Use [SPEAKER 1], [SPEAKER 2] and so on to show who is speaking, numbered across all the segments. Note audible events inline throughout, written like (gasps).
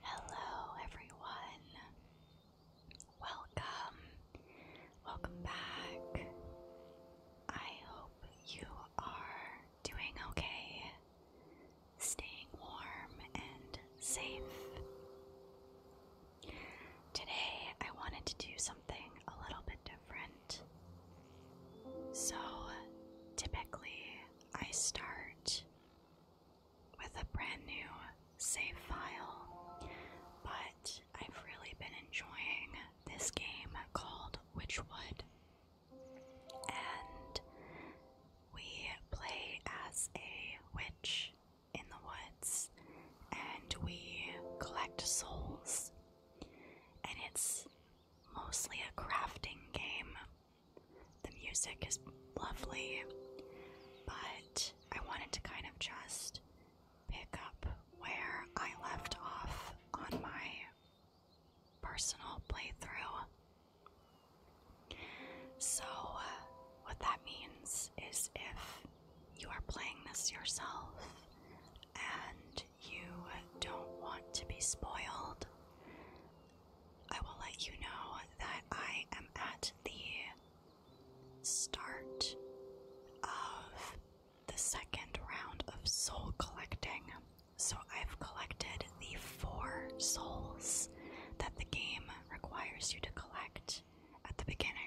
[SPEAKER 1] Hello, everyone. Welcome. Welcome back. I hope you are doing okay, staying warm and safe. Today, I wanted to do something a little bit different. So, typically, I start with a brand new save file, but I've really been enjoying this game called Witchwood. And we play as a witch in the woods and we collect souls. And it's mostly a crafting game. The music is lovely, but I wanted to kind of just pick up where I left off on my personal playthrough. So, uh, what that means is if you are playing this yourself and you don't want to be spoiled, I will let you know that I am at the start of the second round of soul collecting. So I've collected the four souls that the game requires you to collect at the beginning.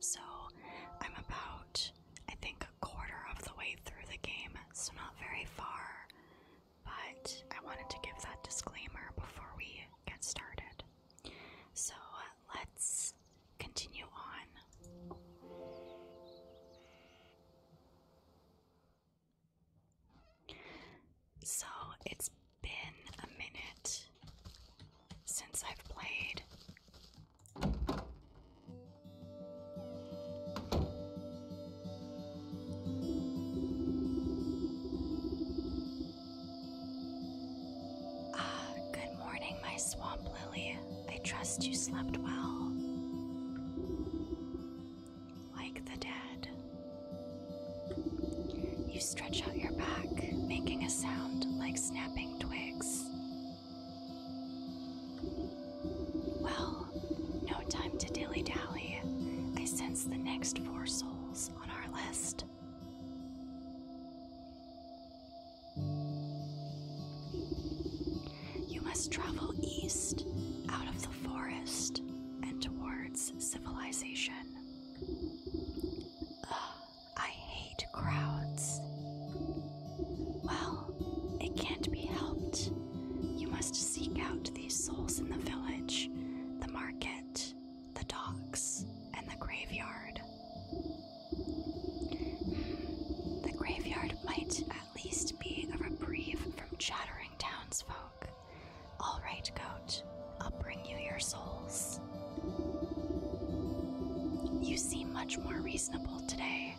[SPEAKER 1] So I'm about, I think, a quarter of the way through the game, so not very far. But I wanted to give that disclaimer before we get started. So let's continue on. So it's been a minute since I've played. Ah, good morning, my swamp lily. I trust you slept well. Like the dead. You stretch out your back, making a sound like snapping twigs. Well, no time to dilly dally. I sense the next four souls on our list. You must travel east, out of the forest, and towards civilization. I hate crowds. Well, it can't be helped. You must seek out these souls in the village, the market, the docks, and the graveyard. Hmm, the graveyard might at least be a reprieve from chattering townsfolk. All right, goat. I'll bring you your souls. You seem much more reasonable today.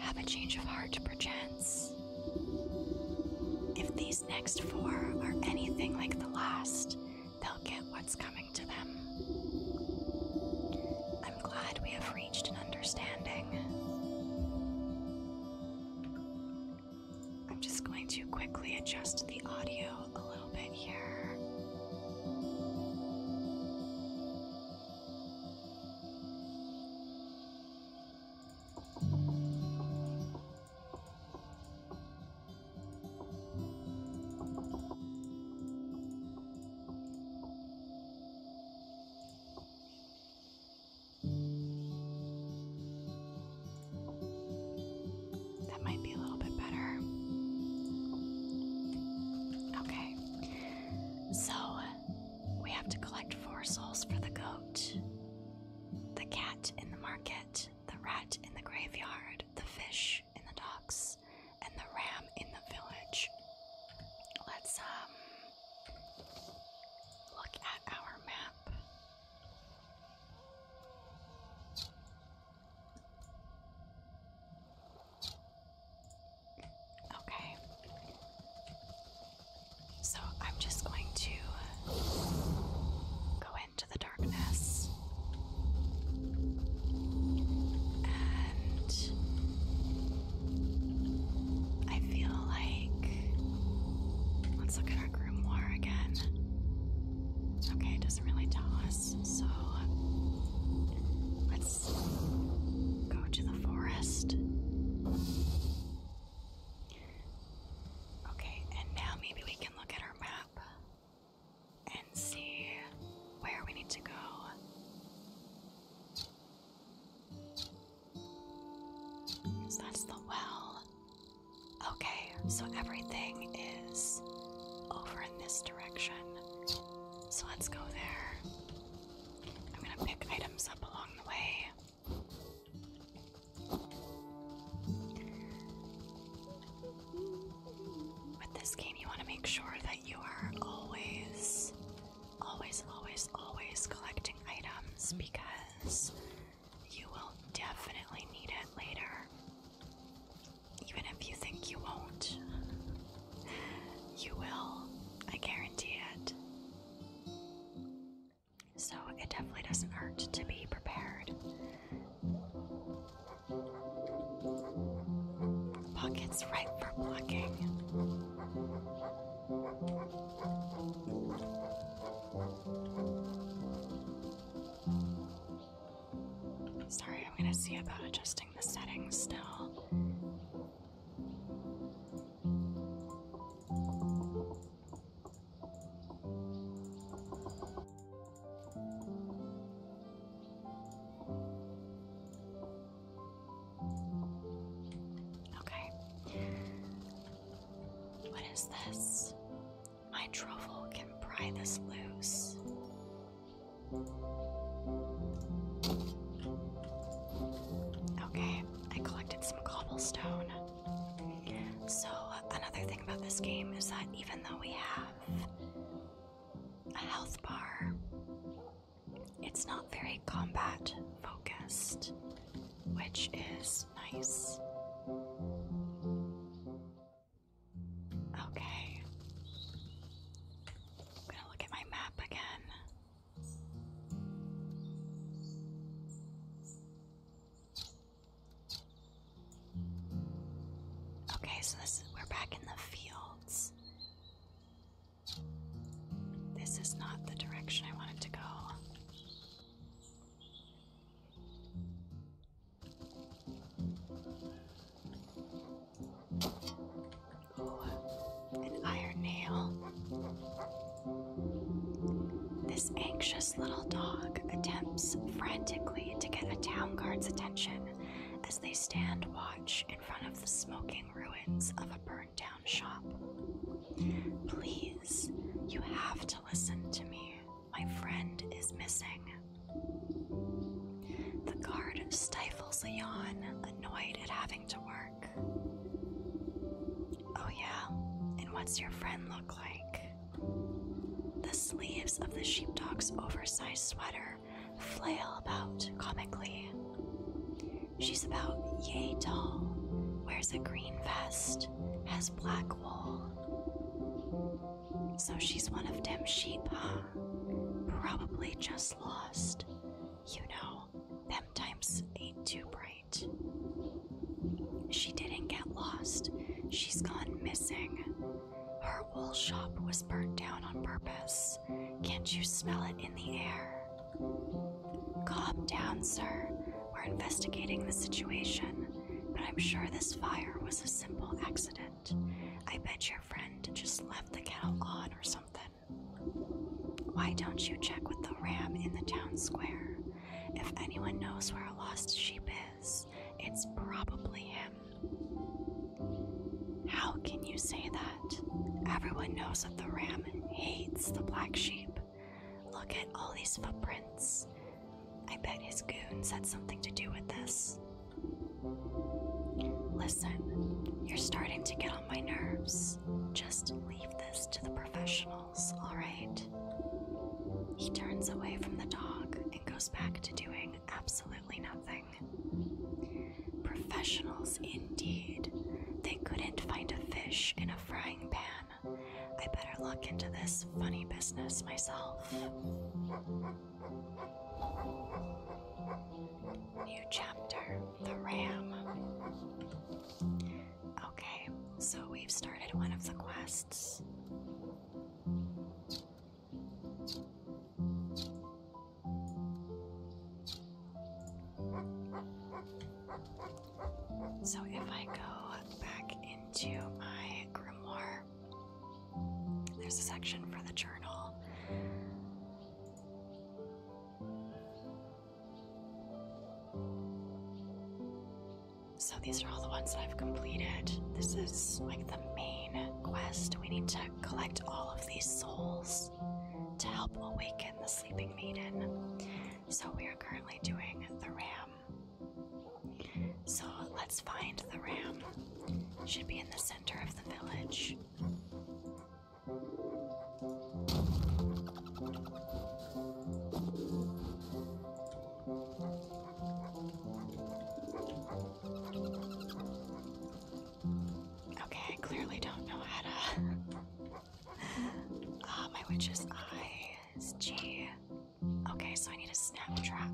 [SPEAKER 1] Have a change of heart, perchance. If these next four are anything like the last, they'll get what's coming to them. I'm glad we have reached an understanding. I'm just going to quickly adjust the audio a little little bit here. That might be a little bit better. Okay. So we have to collect four souls for the goat, the cat in the market, the rat in the graveyard, the fish in the docks, and the ram in the village. Let's um look at our map. Okay. So I'm just going to go into the darkness and. I feel like. Let's look at our grimoire again. Okay, it doesn't really tell us so let's go to the forest. Okay, and now maybe we can look at our map and see where we need to go. So that's the well. Okay, so everything is over in this so let's go there. I'm gonna pick items up along the way. With this game, you want to make sure that you are always, always, always, always collecting items because you will definitely need it later even if you think you won't, you will. I guarantee it. So it definitely doesn't hurt to be prepared. Pockets ripe for plucking. Sorry, I'm gonna see about adjusting the settings still. Okay. What is this? My truffle can pry this loose. Okay, I collected some cobblestone. So, another thing about this game is that even though we have a health bar, it's not very combat focused, which is nice. Okay. I'm gonna look at my map again. Okay, so this we're back in the fields. This is not the direction I wanted to go an iron nail. This anxious little dog attempts frantically to get a town guard's attention as they stand watch in front of the smoking ruins of a burned down shop. Please, you have to listen to me. My friend is missing. The guard stifles a yawn, annoyed at having to work. Oh, yeah, and what's your friend look like? The sleeves of the sheepdog's oversized sweater flail about comically. She's about yay tall, wears a green vest, has black wool. So she's one of them sheep, huh? Probably just lost. You know, them times ain't too bright. She didn't get lost. She's gone missing. Her wool shop was burnt down on purpose. Can't you smell it in the air? Calm down, sir. We're investigating the situation, but I'm sure this fire was a simple accident. I bet your friend just left the kettle on or something. Why don't you check with the ram in the town square? If anyone knows where a lost sheep is, it's probably him. How can you say that? Everyone knows that the ram hates the black sheep. Look at all these footprints. I bet his goons had something to do with this. Listen, you're starting to get on my nerves. Just leave this to the professionals, alright? He turns away from the dog and goes back to doing absolutely nothing. Professionals, indeed. They couldn't find a fish in a frying pan. I better look into this funny business myself. New chapter The Ram. Okay, so we've started one of the quests. So, if I go back into my grimoire, there's a section for the journal. So these are all the ones that I've completed. This is like the main quest. We need to collect all of these souls to help awaken the sleeping maiden. So we are currently doing the ram. So let's find the ram. Should be in the center of the village. Okay, I clearly don't know how to. (laughs) Ah, my witch's eyes. Gee. Okay, so I need a snap trap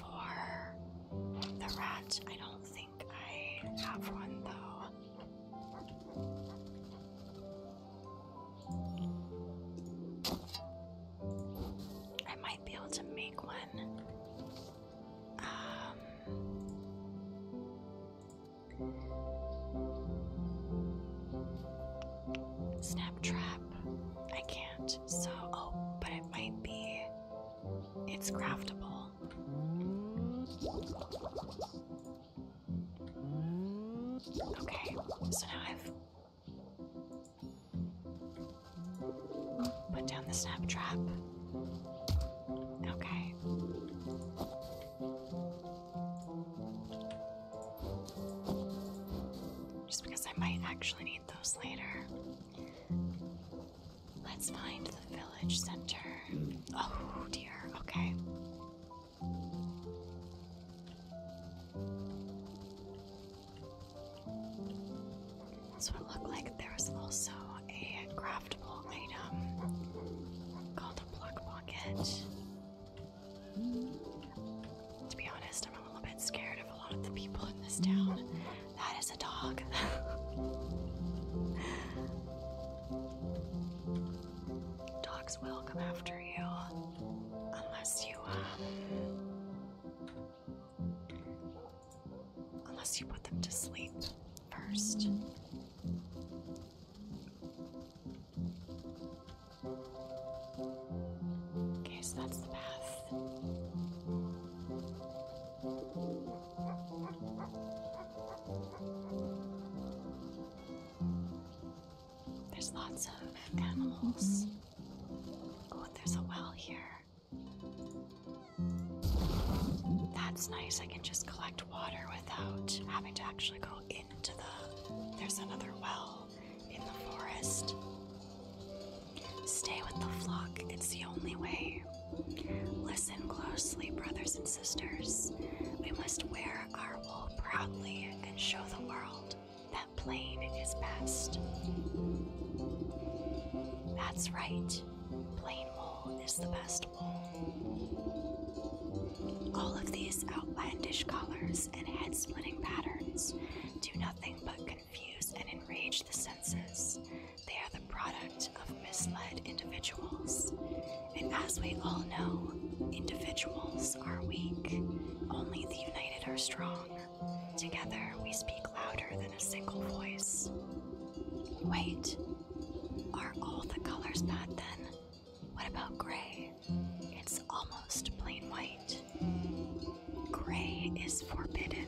[SPEAKER 1] for the rat. I don't think I have one though. I might be able to make one. Um, snap trap. I can't. So, oh, but it might be. It's craftable. Okay, so now I've put down the snap trap. Okay. Just because I might actually need those later. Let's find the village center. Oh dear, okay. So it looked like there also a craftable item called a plug bucket. To be honest, I'm a little bit scared of a lot of the people in this town. That is a dog. (laughs) Dogs will come after you unless you um, unless you put them to sleep first. Okay, so that's the path. There's lots of animals. Oh, there's a well here. That's nice. I can just collect water without having to actually go into the. There's another well in the forest. Stay with the flock, it's the only way. Listen closely, brothers and sisters. We must wear our wool proudly and show the world that plain is best. That's right, plain wool is the best wool. All of these outlandish colors and head splitting patterns do nothing but confuse and enrage the senses. They are the product of misled individuals. And as we all know, individuals are weak. Only the united are strong. Together we speak louder than a single voice. Wait, are all the colors bad then? What about gray? It's almost plain white. Gray is forbidden.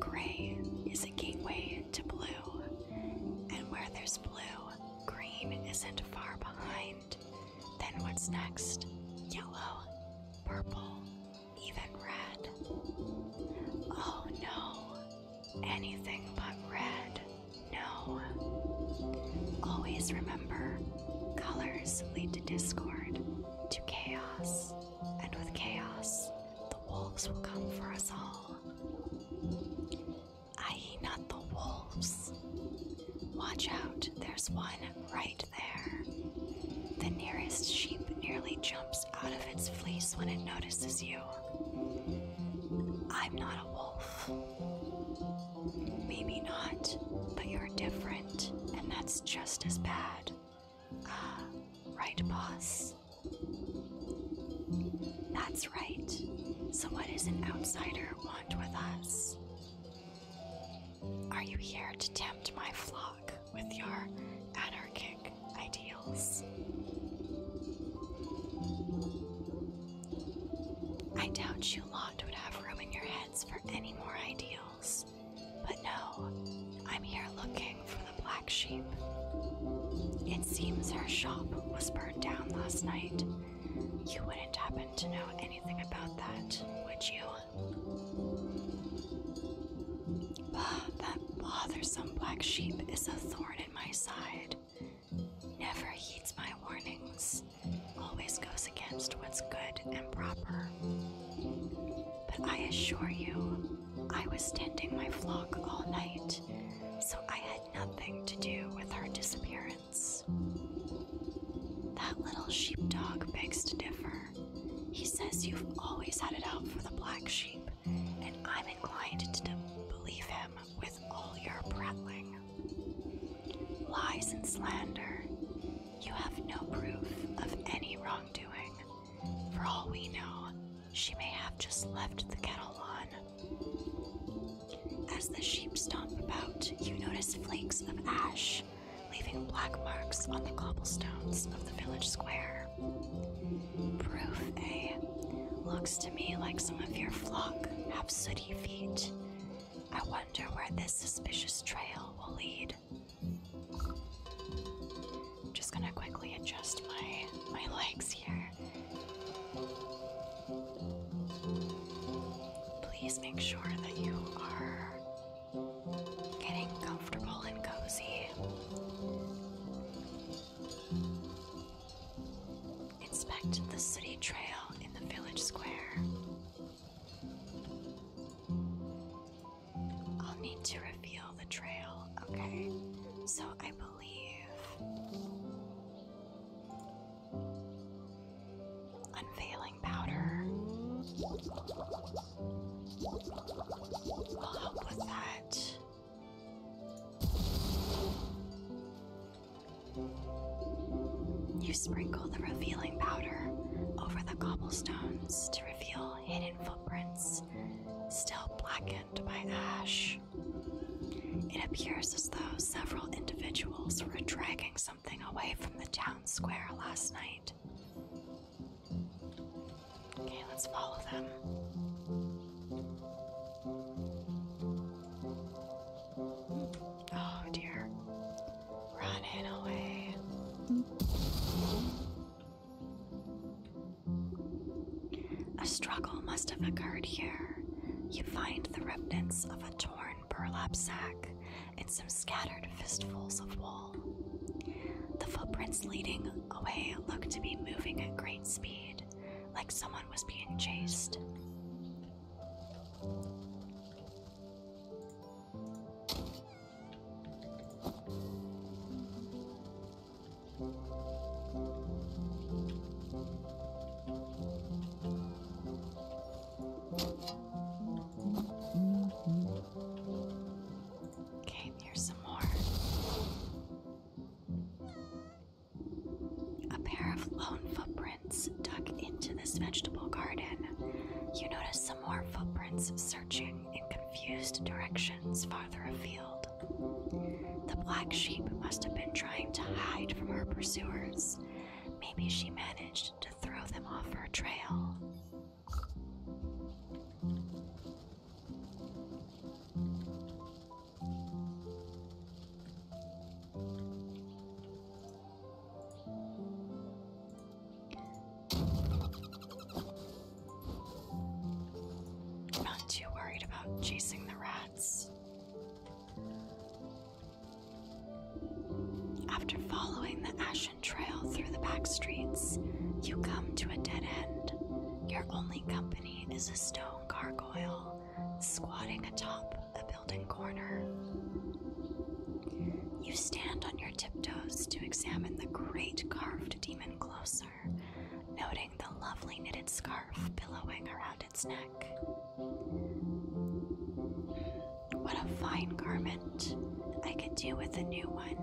[SPEAKER 1] Gray is a gateway to blue, and where there's blue, green isn't far behind. Then what's next? Yellow, purple, even red. Oh no, anything but red. No. Always remember colors lead to discord to chaos, and with chaos, the wolves will come for us all. I.e., not the wolves. Watch out, there's one right there. The nearest sheep nearly jumps out of its fleece when it notices you. I'm not a wolf. Maybe not, but you're different, and that's just as bad. Ah, right, boss. That's right. So, what does an outsider want with us? Are you here to tempt my flock with your anarchic ideals? I doubt you lot would have room in your heads for any more ideals. But no, I'm here looking for the black sheep. It seems her shop was burned down last night. You wouldn't happen to know anything about that, would you? Bah, that bothersome black sheep is a thorn in my side. Never heeds my warnings, always goes against what's good and proper. But I assure you, I was standing my flock all night, so I had nothing to do with her disappearance. That little sheepdog begs to differ. He says you've always had it out for the black sheep, and I'm inclined to believe him with all your prattling. Lies and slander. You have no proof of any wrongdoing. For all we know, she may have just left the kettle on. As the sheep stomp about, you notice flakes of ash leaving black marks on the cobblestones of the village square. Proof, A eh? Looks to me like some of your flock have sooty feet. I wonder where this suspicious trail will lead. I'm just gonna quickly adjust my my legs here. Please make sure that you are getting comfortable and cozy. Inspect the city trail in the village square. I'll need to reveal the trail, okay? So I believe unveiling powder will help with that. You sprinkle the revealing powder over the cobblestone to reveal hidden footprints still blackened by ash. It appears as though several individuals were dragging something away from the town square last night. Okay, let's follow them. Oh dear. A struggle must have occurred here. You find the remnants of a torn burlap sack and some scattered fistfuls of wool. The footprints leading away look to be moving at great speed, like someone was being chased. Okay, here's some more. A pair of lone footprints dug into this vegetable garden you notice some more footprints searching in confused directions farther afield. The black sheep must have been trying to hide from her pursuers. Maybe she managed to throw them off her trail not too worried about chasing the rats. After following the ashen trail through the back streets, you come to a dead end. Your only company is a stone gargoyle squatting atop a building corner. You stand on your tiptoes to examine the great carved demon closer, noting the lovely knitted scarf billowing around its neck. What a fine garment. I could do with a new one.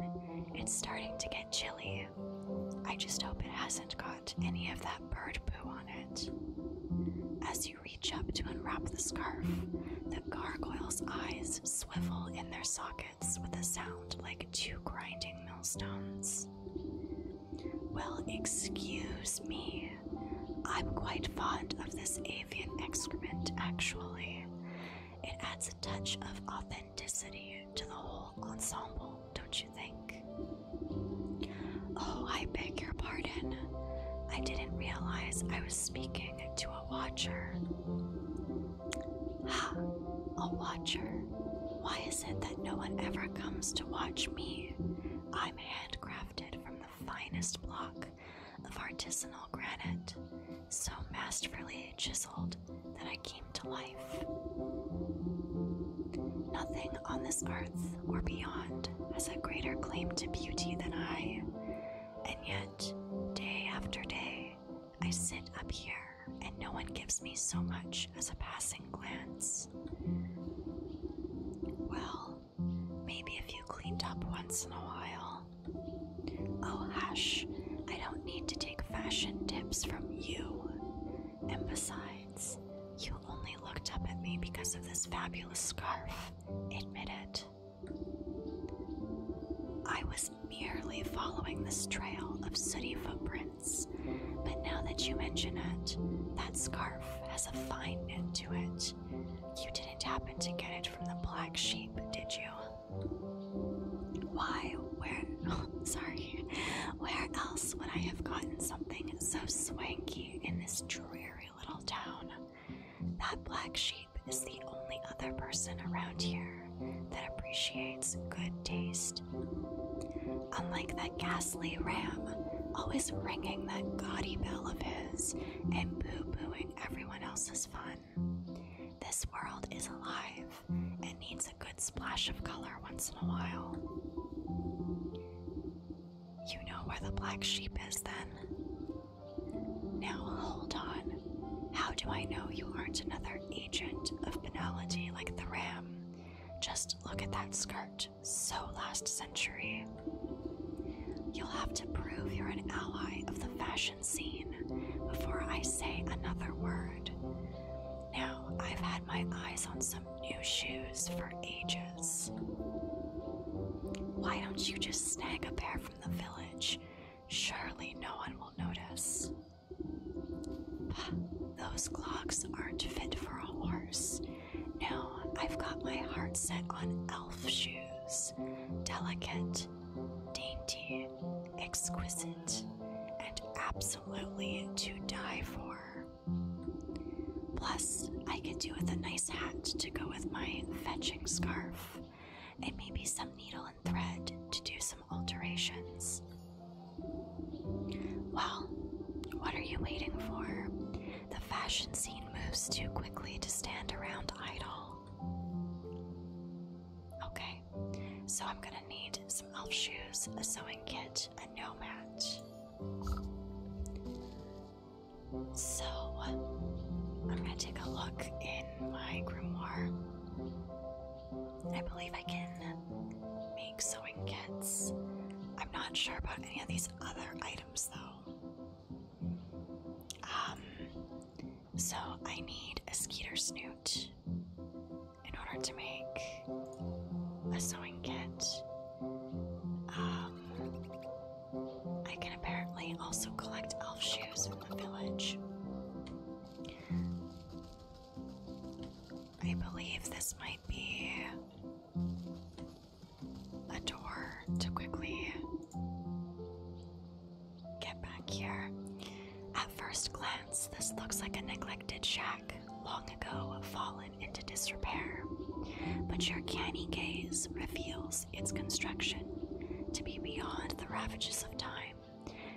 [SPEAKER 1] It's starting to get chilly. I just hope it hasn't got any of that bird poo on it. As you read reach up to unwrap the scarf. The gargoyle's eyes swivel in their sockets with a sound like two grinding millstones. Well, excuse me. I'm quite fond of this avian excrement, actually. It adds a touch of authenticity to the whole ensemble, don't you think? Oh, I beg your pardon. I didn't realize I was speaking to a watcher. Ha! A watcher. Why is it that no one ever comes to watch me? I'm handcrafted from the finest block of artisanal granite, so masterfully chiseled that I came to life. Nothing on this earth or beyond has a greater claim to beauty than I, and yet but day after day, I sit up here and no one gives me so much as a passing glance. Well, maybe if you cleaned up once in a while. Oh, hush, I don't need to take fashion tips from you. And besides, you only looked up at me because of this fabulous scarf. Admit it. I was merely following this trail of sooty footprints, but now that you mention it, that scarf has a fine end to it. You didn't happen to get it from the black sheep, did you? Why, where, (laughs) sorry, where else would I have gotten something so swanky in this dreary little town? That black sheep is the only other person around here that appreciates good taste. Unlike that ghastly ram, always ringing that gaudy bell of his and poo pooing everyone else's fun. This world is alive and needs a good splash of color once in a while. You know where the black sheep is, then? Now, hold on. How do I know you aren't another agent of banality like the ram? Just look at that skirt. So last century. You'll have to prove you're an ally of the fashion scene before I say another word. Now, I've had my eyes on some new shoes for ages. Why don't you just snag a pair from the village? Surely no one will notice. (sighs) Those clogs aren't fit for a horse. No, I've got my heart set on elf shoes. Delicate, dainty, exquisite, and absolutely to die for. Plus, I could do with a nice hat to go with my fetching scarf. It may be some needle and thread to do some alterations. Well, what are you waiting for? The fashion scene moves too quickly to stand around idle. Okay, so I'm gonna need some elf shoes, a sewing kit, and no match. So, I'm gonna take a look in my grimoire. I believe I can make sewing kits. I'm not sure about any of these other items though. Um, so I need a skeeter snoot in order to make a sewing kit. Um, I can apparently also collect elf shoes from the village. I believe this might be a door to quickly get back here. At first glance, this looks like a neglected shack, long ago fallen into disrepair. But your canny gaze reveals its construction to be beyond the ravages of time,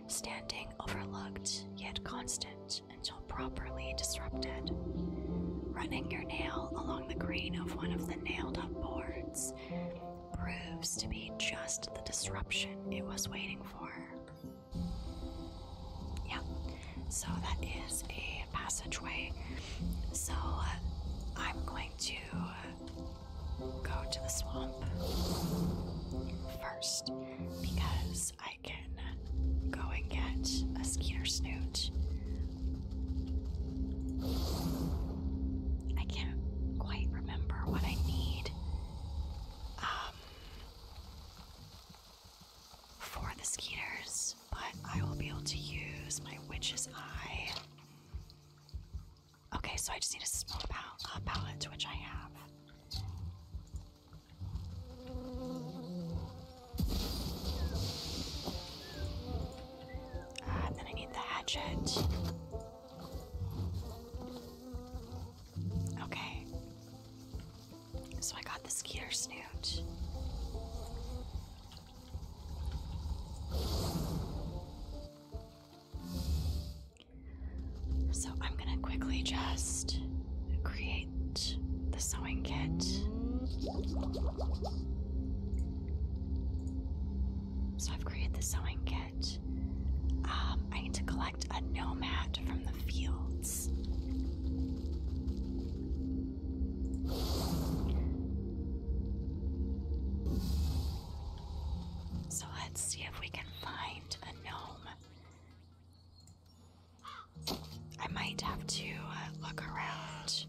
[SPEAKER 1] standing overlooked yet constant until properly disrupted. Running your nail along the grain of one of the nailed up boards proves to be just the disruption it was waiting for. Yeah, so that is a passageway. So uh, I'm going to go to the swamp first because I can go and get a Skeeter Snoot. I can't quite remember what I need um, for the Skeeters, but I will be able to use my Witch's Eye Okay, so I just need a small uh, palette, which I have. Uh, then I need the hatchet. Okay. So I got the skeeter snoot. So I'm going to quickly just create the sewing kit. So I've created the sewing kit. Um, I need to collect a nomad from the fields. So let's see if we can find a gnome. I might have to uh, look around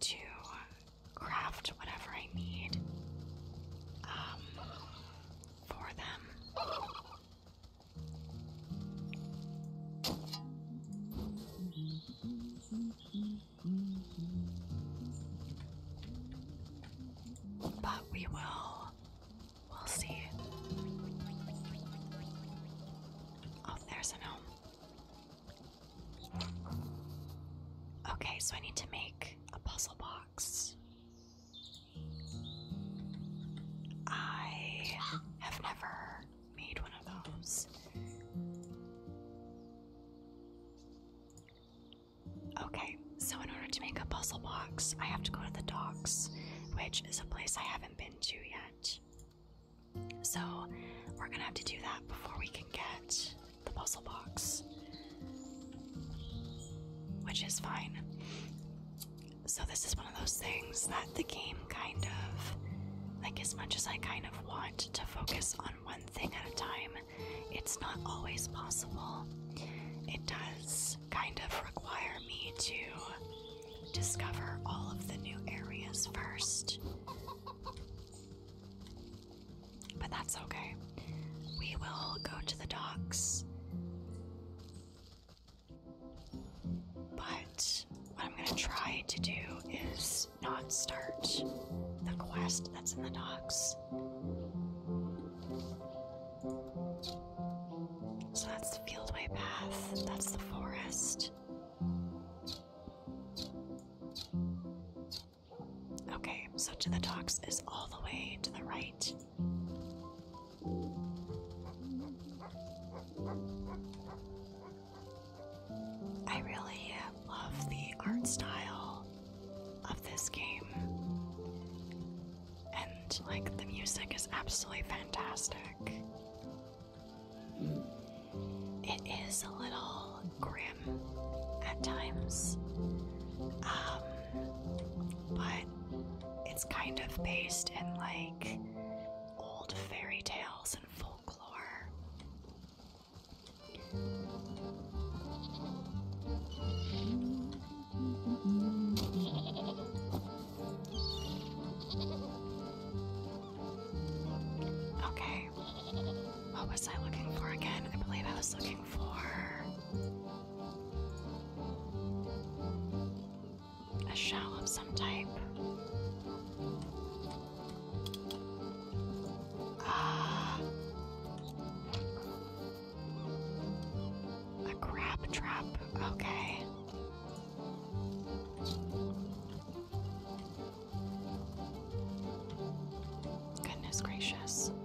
[SPEAKER 1] to craft whatever I need um, for them. But we will. We'll see. Oh, there's a gnome. Okay, so I need to make a puzzle box. I have never made one of those. Okay, so in order to make a puzzle box, I have to go to the docks, which is a place I haven't been to yet. So we're gonna have to do that before we can get the puzzle box, which is fine. So this is one of those things that the game kind of, like as much as I kind of want to focus on one thing at a time. It's not always possible. It does kind of require me to discover all of the new areas first. But that's okay. We will go to the docks. But what I'm going to try to do is not start the quest that's in the docks. So that's the fieldway path, that's the forest. Okay, so to the docks is all the way to the right. I really love the art style of this game. And, like, the music is absolutely fantastic. It is a little grim at times, um, but it's kind of based in, like, old fairy tales and folklore. Okay. What was I looking for again? I believe I was looking for a shell of some type. Ah. A crab trap. Okay. Goodness gracious. (laughs)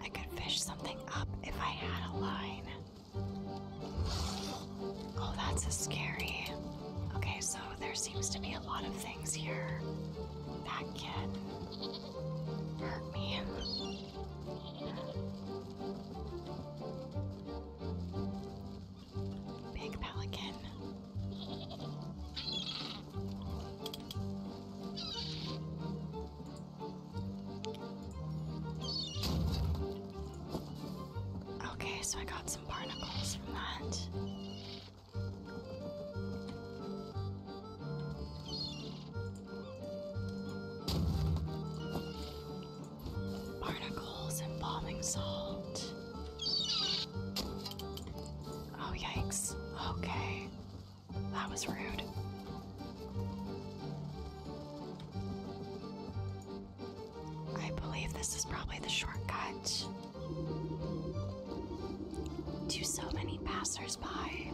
[SPEAKER 1] I could fish something up if I had a line. Oh, that's a scary. Okay, so there seems to be a lot of things here that can hurt me. Big pelican. Okay, so I got some barnacles from that. Barnacles and bombing salt. Oh, yikes. Okay. That was rude. I believe this is probably the shortcut to so many passersby.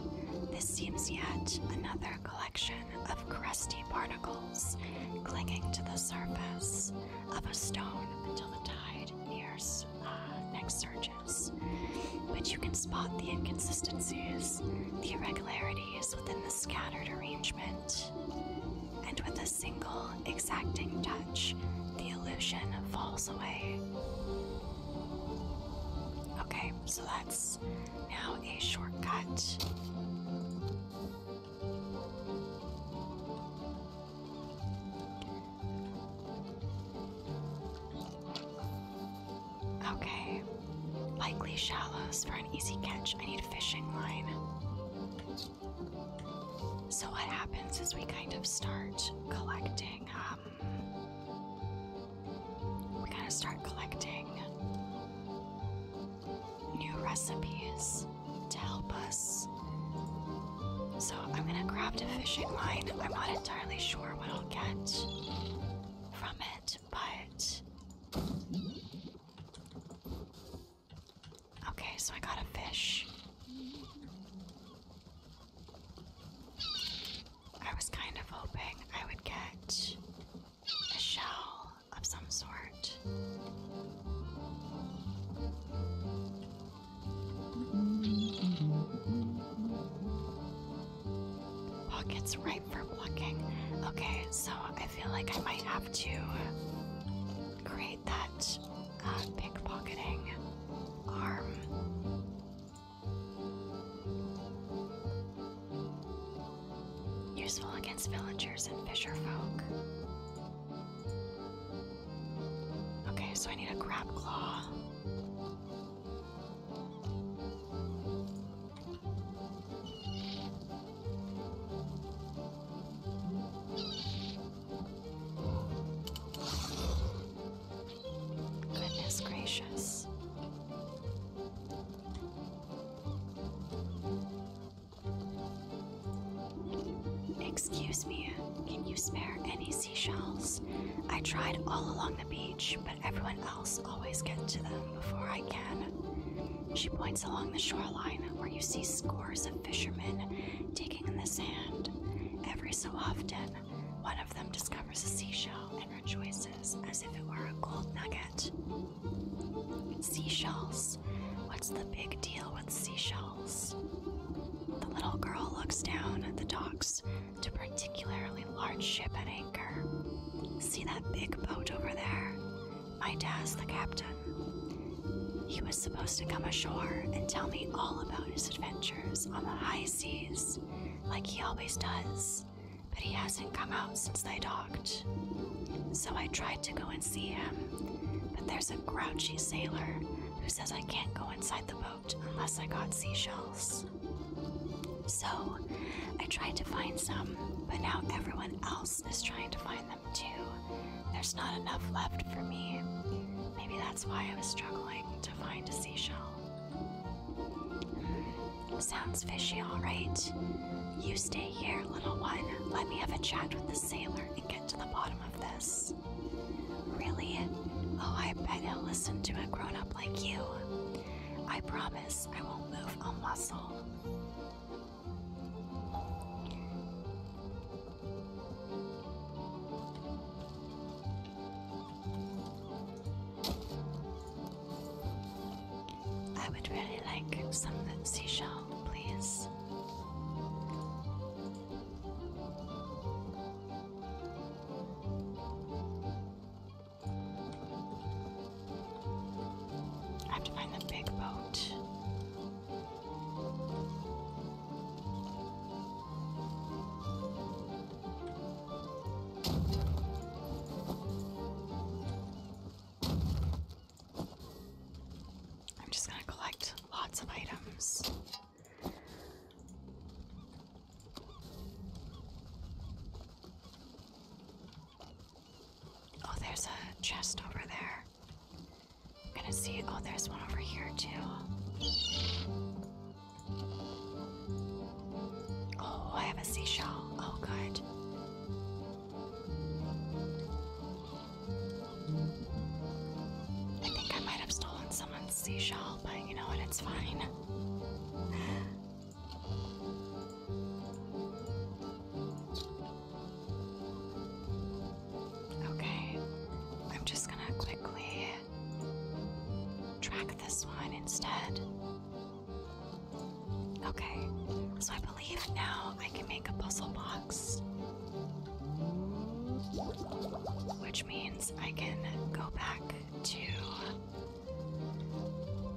[SPEAKER 1] This seems yet another collection of crusty particles clinging to the surface of a stone until the tide nears uh, next surges. But you can spot the inconsistencies, the irregularities within the scattered arrangement, and with a single exacting touch, the illusion falls away. Okay, so that's now a shortcut. Okay. Likely shallows for an easy catch. I need a fishing line. So, what happens is we kind of start collecting, um, we kind to start collecting new recipes to help us. So, I'm gonna grab a fishing line. I'm not entirely sure what I'll get from it but okay, so I got a fish. I was kind of hoping I would get a shell of some sort. It's ripe for plucking. Okay, so I feel like I might have to create that uh, pickpocketing arm. Useful against villagers and fisher folk. Okay, so I need a grab claw. Goodness gracious. Excuse me, can you spare any seashells? I tried all along the beach, but everyone else always gets to them before I can. She points along the shoreline where you see scores of fishermen digging in the sand. Every so often, one of them discovers a seashell and rejoices as if it were a gold nugget. Seashells. What's the big deal with seashells? The little girl looks down at the docks to particularly large ship at anchor. See that big boat over there? My dad's the captain. He was supposed to come ashore and tell me all about his adventures on the high seas, like he always does, but he hasn't come out since they docked. So I tried to go and see him, but there's a grouchy sailor who says I can't go inside the boat unless I got seashells. So I tried to find some, but now everyone else is trying to find them too. There's not enough left for me. Maybe that's why I was struggling to find a seashell. Sounds fishy, alright. You stay here, little one. Let me have a chat with the sailor and get to the bottom of this. Really? Oh, I bet he'll listen to a grown up like you. I promise I won't move a muscle. I would really like some seashell, please. I have to find the big boat. I'm just going to collect lots of items. Oh, there's a chest over there. I'm gonna see. Oh, there's one over here, too. Oh, I have a seashell. Oh, good. I think I might have stolen someone's seashell, but you know what? It's fine. Okay, I'm just gonna quickly track this one instead. Okay, so I believe now I can make a puzzle box. Which means I can go back to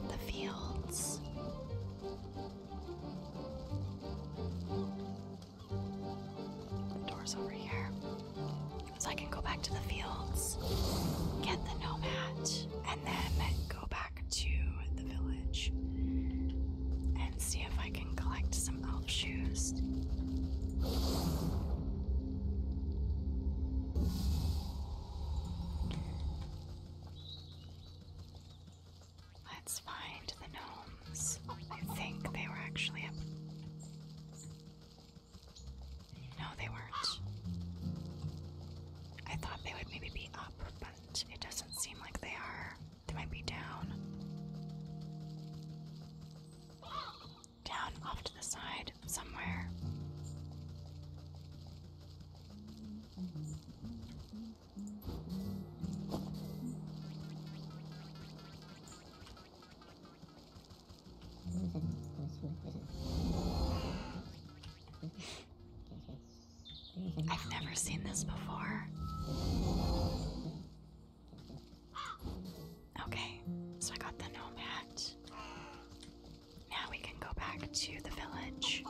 [SPEAKER 1] the fields. Doors over here. So I can go back to the fields, get the nomad, and then go back to the village and see if I can collect some elf shoes. Let's find the gnomes. I think they were actually up. No, they weren't. I thought they would maybe be up, but it doesn't seem like they are. They might be down. Down off the side somewhere. I've never seen this before. (gasps) Okay, so I got the gnome now we can go back to the village.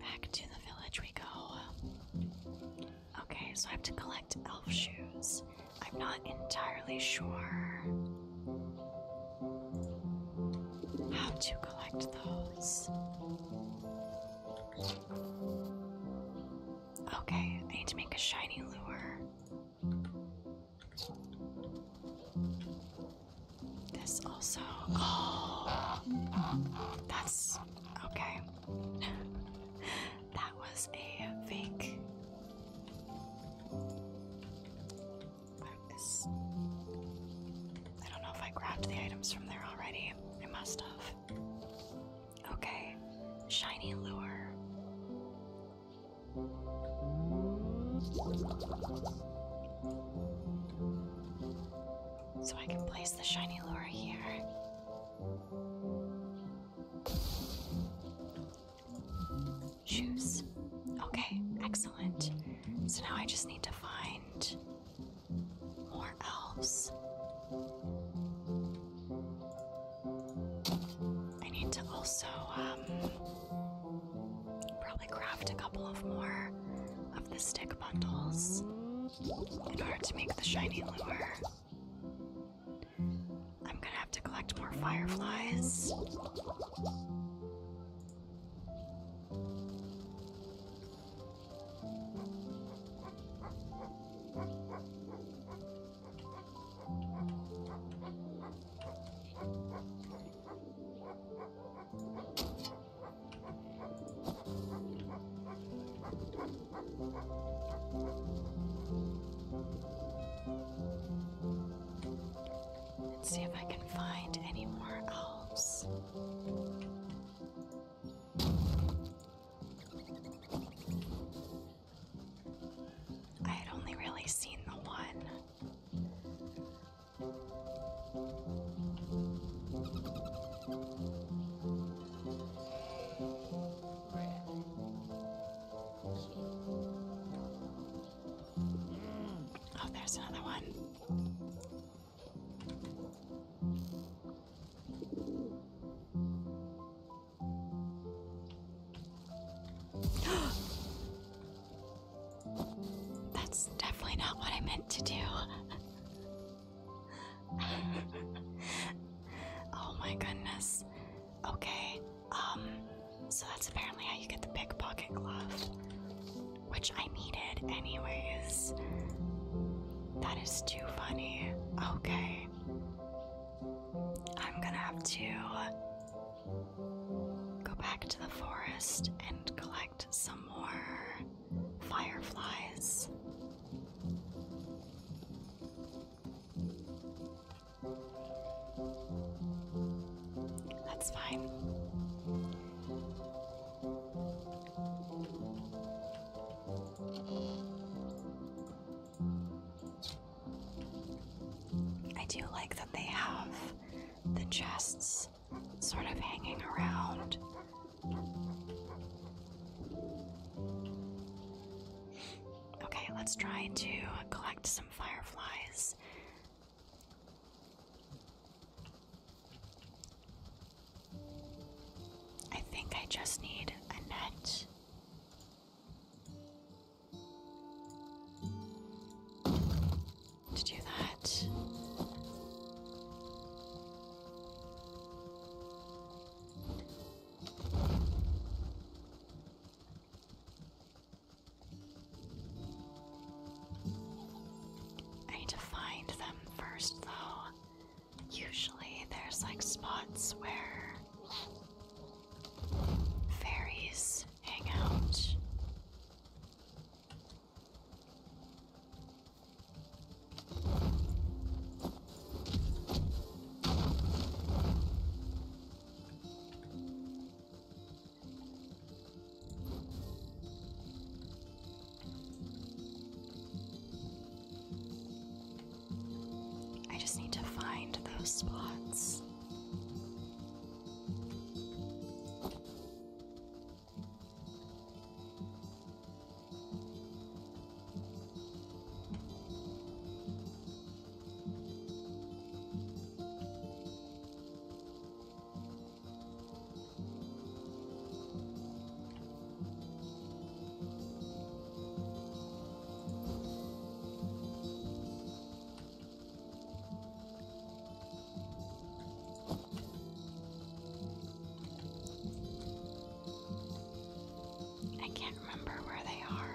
[SPEAKER 1] Back to the village we go. Okay, so I have to collect elf shoes. I'm not entirely sure how to collect those. Okay, I need to make a shiny lure. This also. Oh, that's okay. that was a fake. I don't know if I grabbed the items from there already. I must have. Okay, shiny lure. So I can place the shiny lure here. Shoes. Okay, excellent. So now I just need to find more elves. I need to also um, probably craft a couple of more of the stick bundles in order to make the shiny lure. I'm gonna have to collect more fireflies. Let's see if I can find any more elves. I had only really seen the one. Oh, there's another one. (gasps) That's definitely not what I meant to do. (laughs) oh my goodness. Okay. Um so that's apparently how you get the pocket glove, which I needed anyways. That is too funny. Okay. I'm gonna have to go back to the forest and collect some more fireflies. That's fine. I do like that they have the chests sort of hanging around. Okay, let's try to collect some fireflies. I think I just need a net. To do that, I need to find them first, though. Usually there's like spots where fairies hang out. I just need to find those spots. I can't remember where they are.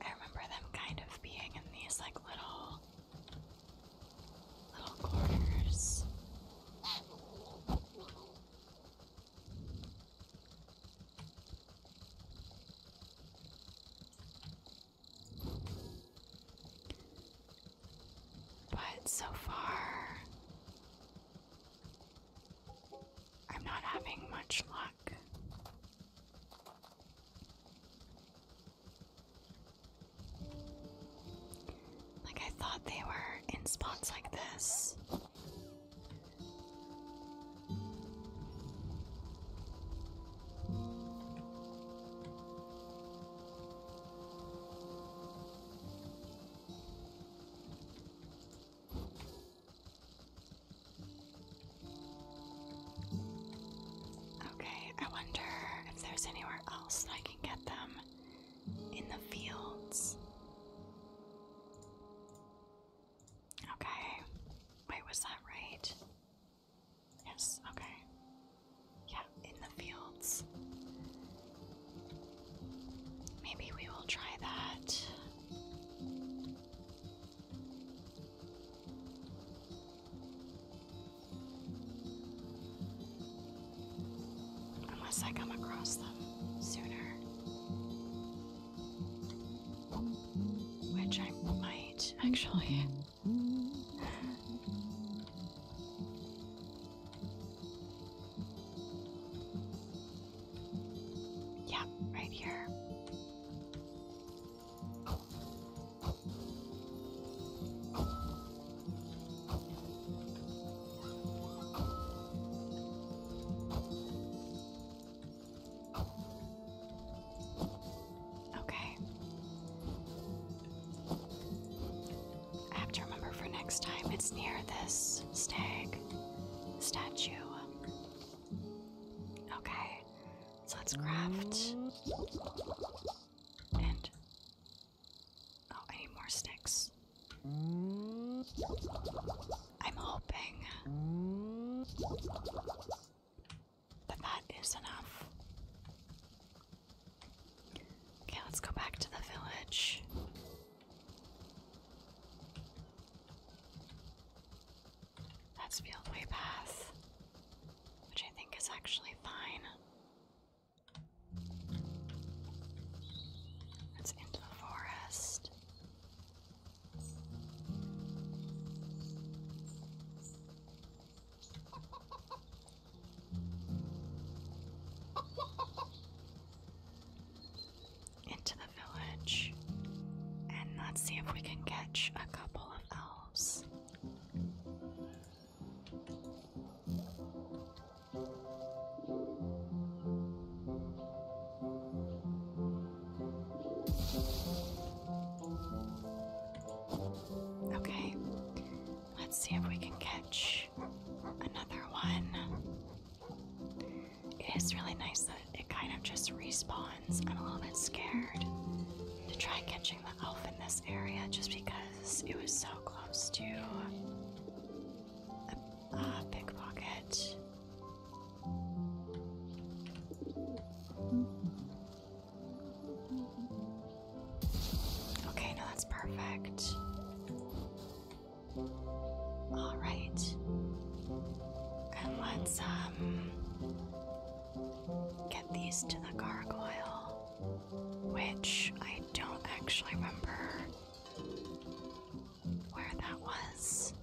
[SPEAKER 1] I remember them kind of being in these like little little corners. But so far, I'm not having much luck. Like, I thought they were in spots like this. Okay, I wonder if there's anywhere else I can get them in the fields. Okay. Wait, was that right? Yes, okay. Yeah, in the fields. Maybe we will try that. Unless I come across them sooner. Which I might, actually. Yeah, right here. Okay. I for next time. It's near this stag statue. Okay. So let's craft. And. Oh, I more sticks. I'm hoping but that is enough. Okay, let's go back to the village. That's Fieldway Path, which I think is actually fine. It's into the forest into the village and let's see if we can catch a couple of elves. Okay, let's see if we can catch another one. It is really nice that it kind of just respawns. I'm a little bit scared to try catching the elf in this area just because it was so close to a, a uh, pickpocket. Okay, no, that's perfect. All right. And let's um get these to the gargoyle, which I don't actually remember where that was.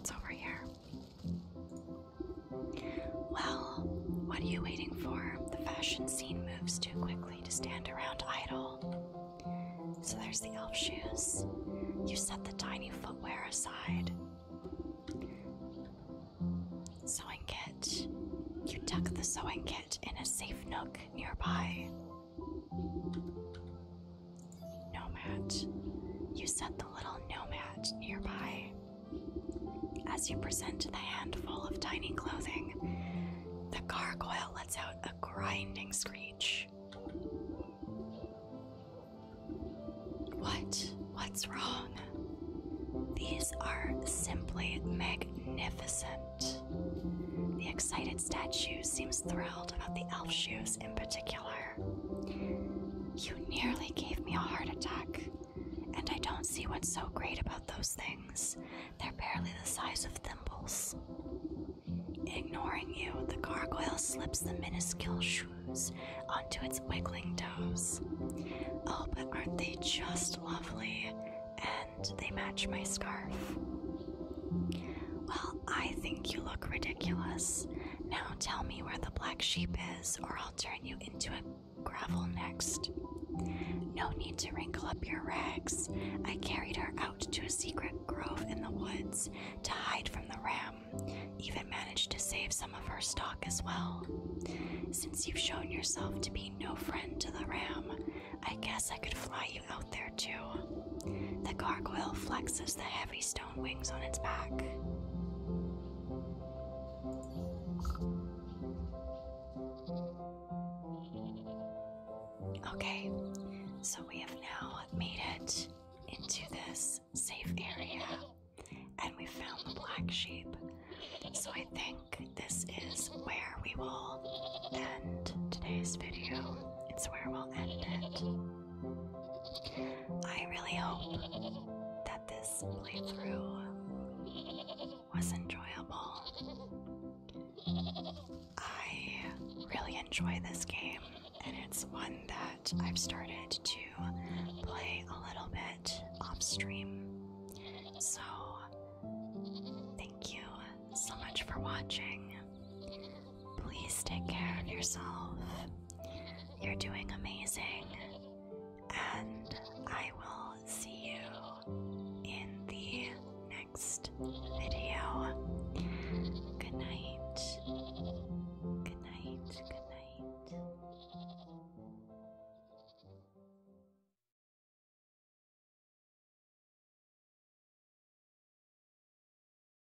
[SPEAKER 1] It's over here. Well, what are you waiting for? The fashion scene moves too quickly to stand around idle. So there's the elf shoes. You set the tiny footwear aside. Sewing kit. You tuck the sewing kit in a safe nook nearby. Nomad, you set the little nomad nearby. As you present the handful of tiny clothing, the gargoyle lets out a grinding screech. What? What's wrong? These are simply magnificent. The excited statue seems thrilled about the elf shoes in particular. You nearly gave me a heart attack, and I don't see what's so great about those things. They're barely the size of thimbles. Ignoring you, the gargoyle slips the minuscule shoes onto its wiggling toes. Oh, but aren't they just lovely? And they match my scarf. Well, I think you look ridiculous, now tell me where the black sheep is, or I'll turn you into a gravel next. No need to wrinkle up your rags. I carried her out to a secret grove in the woods to hide from the ram, even managed to save some of her stock as well. Since you've shown yourself to be no friend to the ram, I guess I could fly you out there too. The gargoyle flexes the heavy stone wings on its back. Okay, so we have now made it into this safe area and we found the black sheep. So I think this is where we will end today's video. It's where we'll end it. I really hope that this playthrough was enjoyable. I really enjoy this game, and it's one that I've started to play a little bit off stream. So, thank you so much for watching. Please take care of yourself. You're doing amazing. And I will see you in the next video. Good night. Good night. Good night.